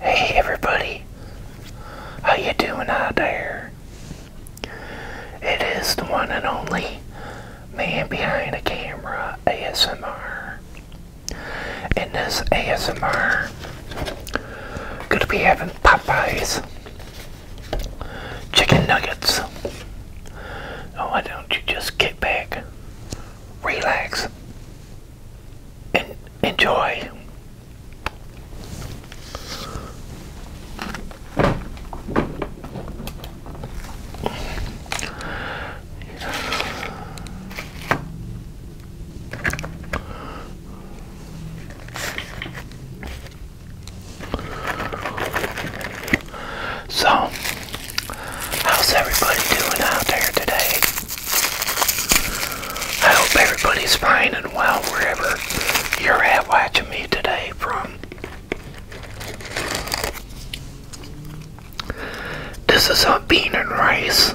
Hey everybody, how you doing out there? It is the one and only man behind the camera ASMR. and this ASMR, gonna be having Popeyes chicken nuggets. Oh, why don't you just kick back, relax, and enjoy? So, how's everybody doing out there today? I hope everybody's fine and well wherever you're at watching me today from. This is a bean and rice.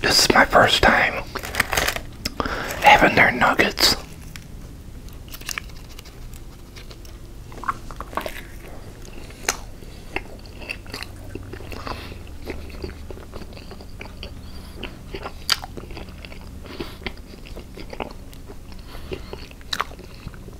This is my first time having their nuggets.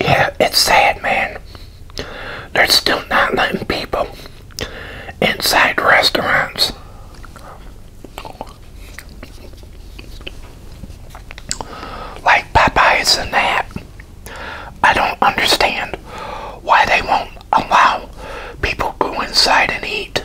Yeah, it's sad, man. They're still not letting people inside restaurants. Like Popeyes and that. I don't understand why they won't allow people go inside and eat.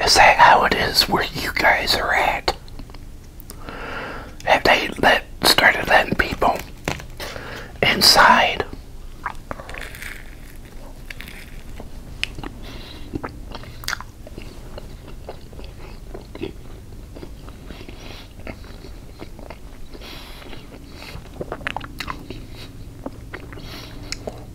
Is that how it is where you guys are at? Have they let started letting people inside?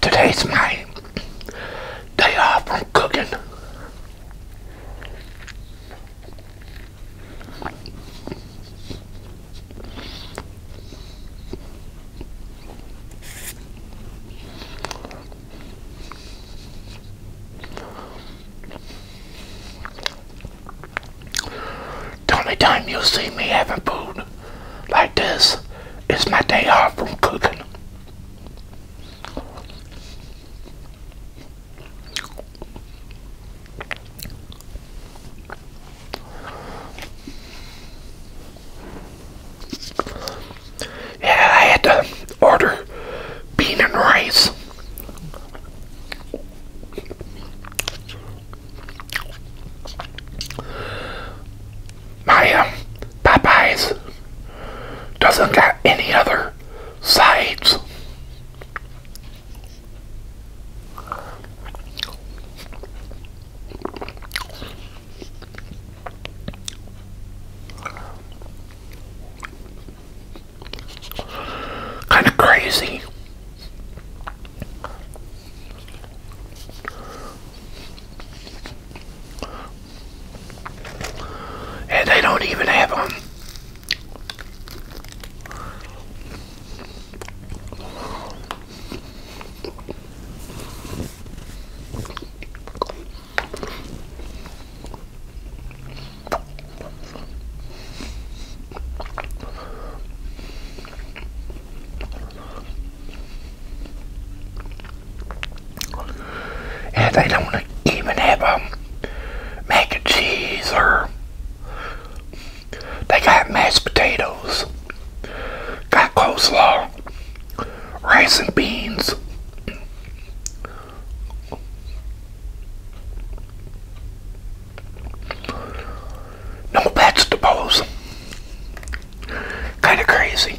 Today's my day off from cooking. The only time you'll see me having food like this is my day off from cooking. Yeah, I had to order bean and rice. My um, doesn't got any other sides. Kind of crazy. And they don't even have them. Um, and they don't even have um, mac and cheese or they got mashed potatoes, got coleslaw, rice and beans. No vegetables. Kind of crazy.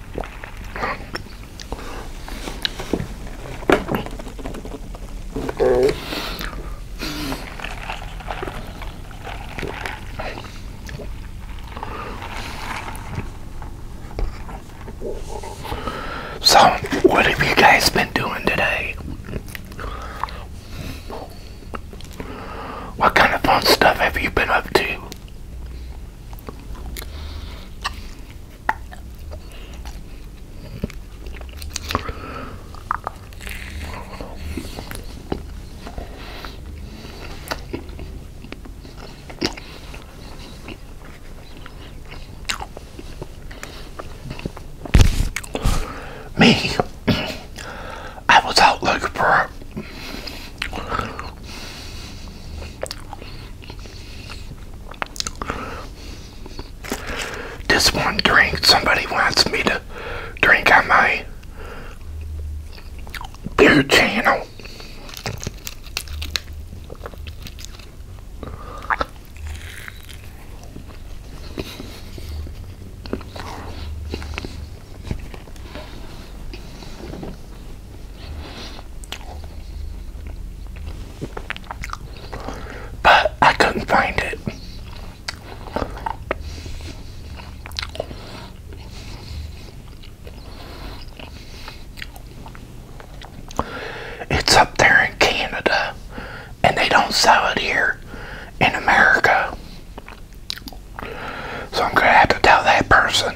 So, what have you guys been doing today? What kind of fun stuff have you been up to? Me, I was out looking for this one drink somebody wants me to drink on my beer channel. But I couldn't find it. It's up there in Canada, and they don't sell it here in America. So I'm going to have to tell that person.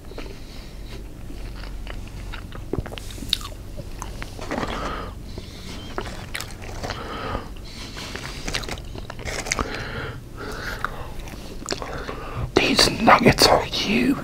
These nuggets are huge.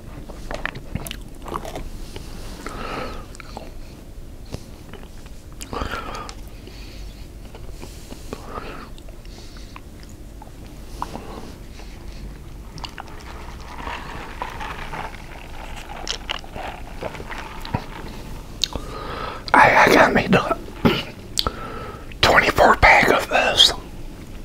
I, got me the 24 pack of this.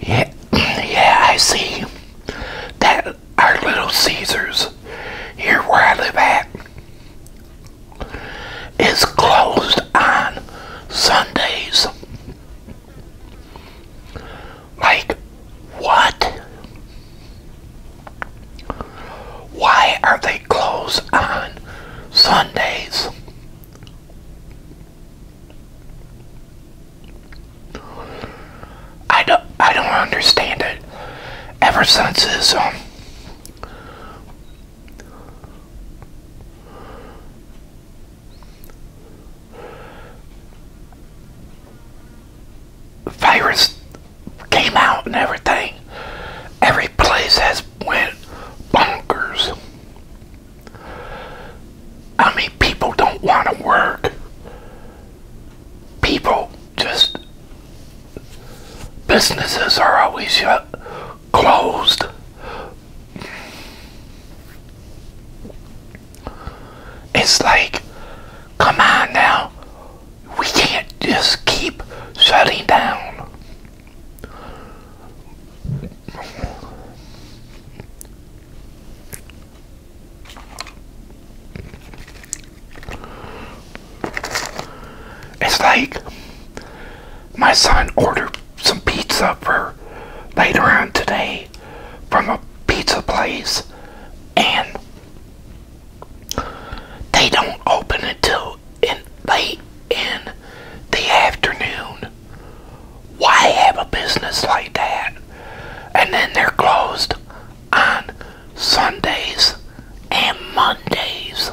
Yeah, yeah, I see that our Little Caesars here where I live at is closed on Sundays. Like, what? Why are they closed on Sundays? I don't, I don't understand it. Ever since this um, virus came out and everything, every place has went bonkers. I mean, people don't want to work. People just, businesses are always shut, uh, closed. It's like, come on now, we can't just keep shutting down. It's like my son ordered some pizza for later on today from a pizza place and they don't open until in late in the afternoon why have a business like that? And then they're closed on Sundays and Mondays.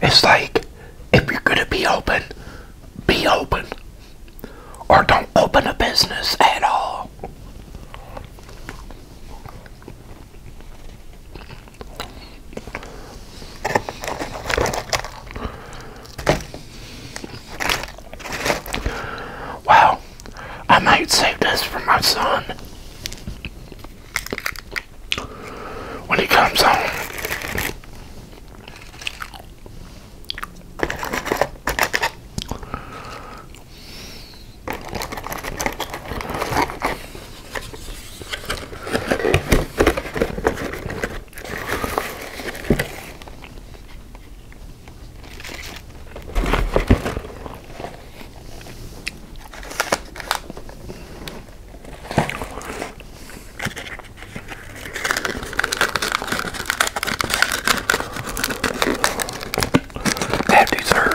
It's like if you're going to be open, be open. Or don't open a business at all. Wow. I might save this for my son when he comes home. That dessert.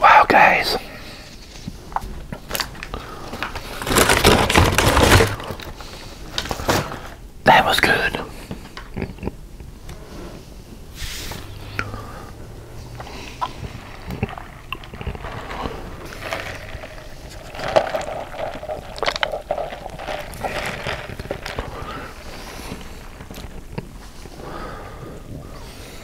Wow, guys. That was good.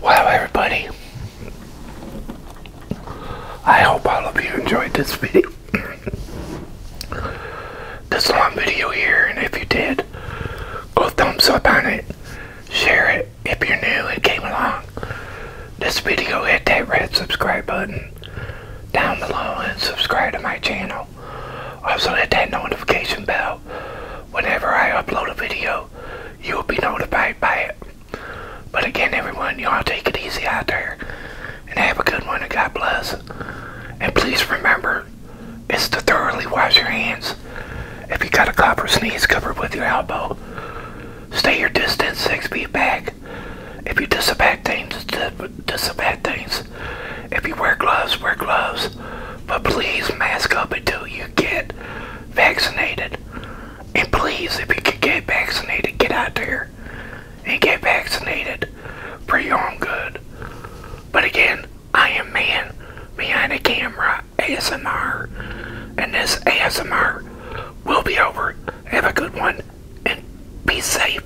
Wow, everybody. I hope all of you enjoyed this video. this long video here, and if you did, go thumbs up on it. Share it if you're new and came along. This video, hit that red subscribe button down below and subscribe to my channel. Also hit that notification bell whenever I upload a video, you'll be notified by it. But again, everyone, y'all take it easy out there and have a good one and God bless. And please remember, it's to thoroughly wash your hands. If you got a cough or sneeze, cover with your elbow. Stay your distance six feet back. If you disinfect things, disinfect things if you wear gloves, wear gloves. But please mask up until you get vaccinated. And please, if you can get vaccinated, get out there and get vaccinated for your own good. But again, I am man behind the camera ASMR. And this ASMR will be over. Have a good one and be safe.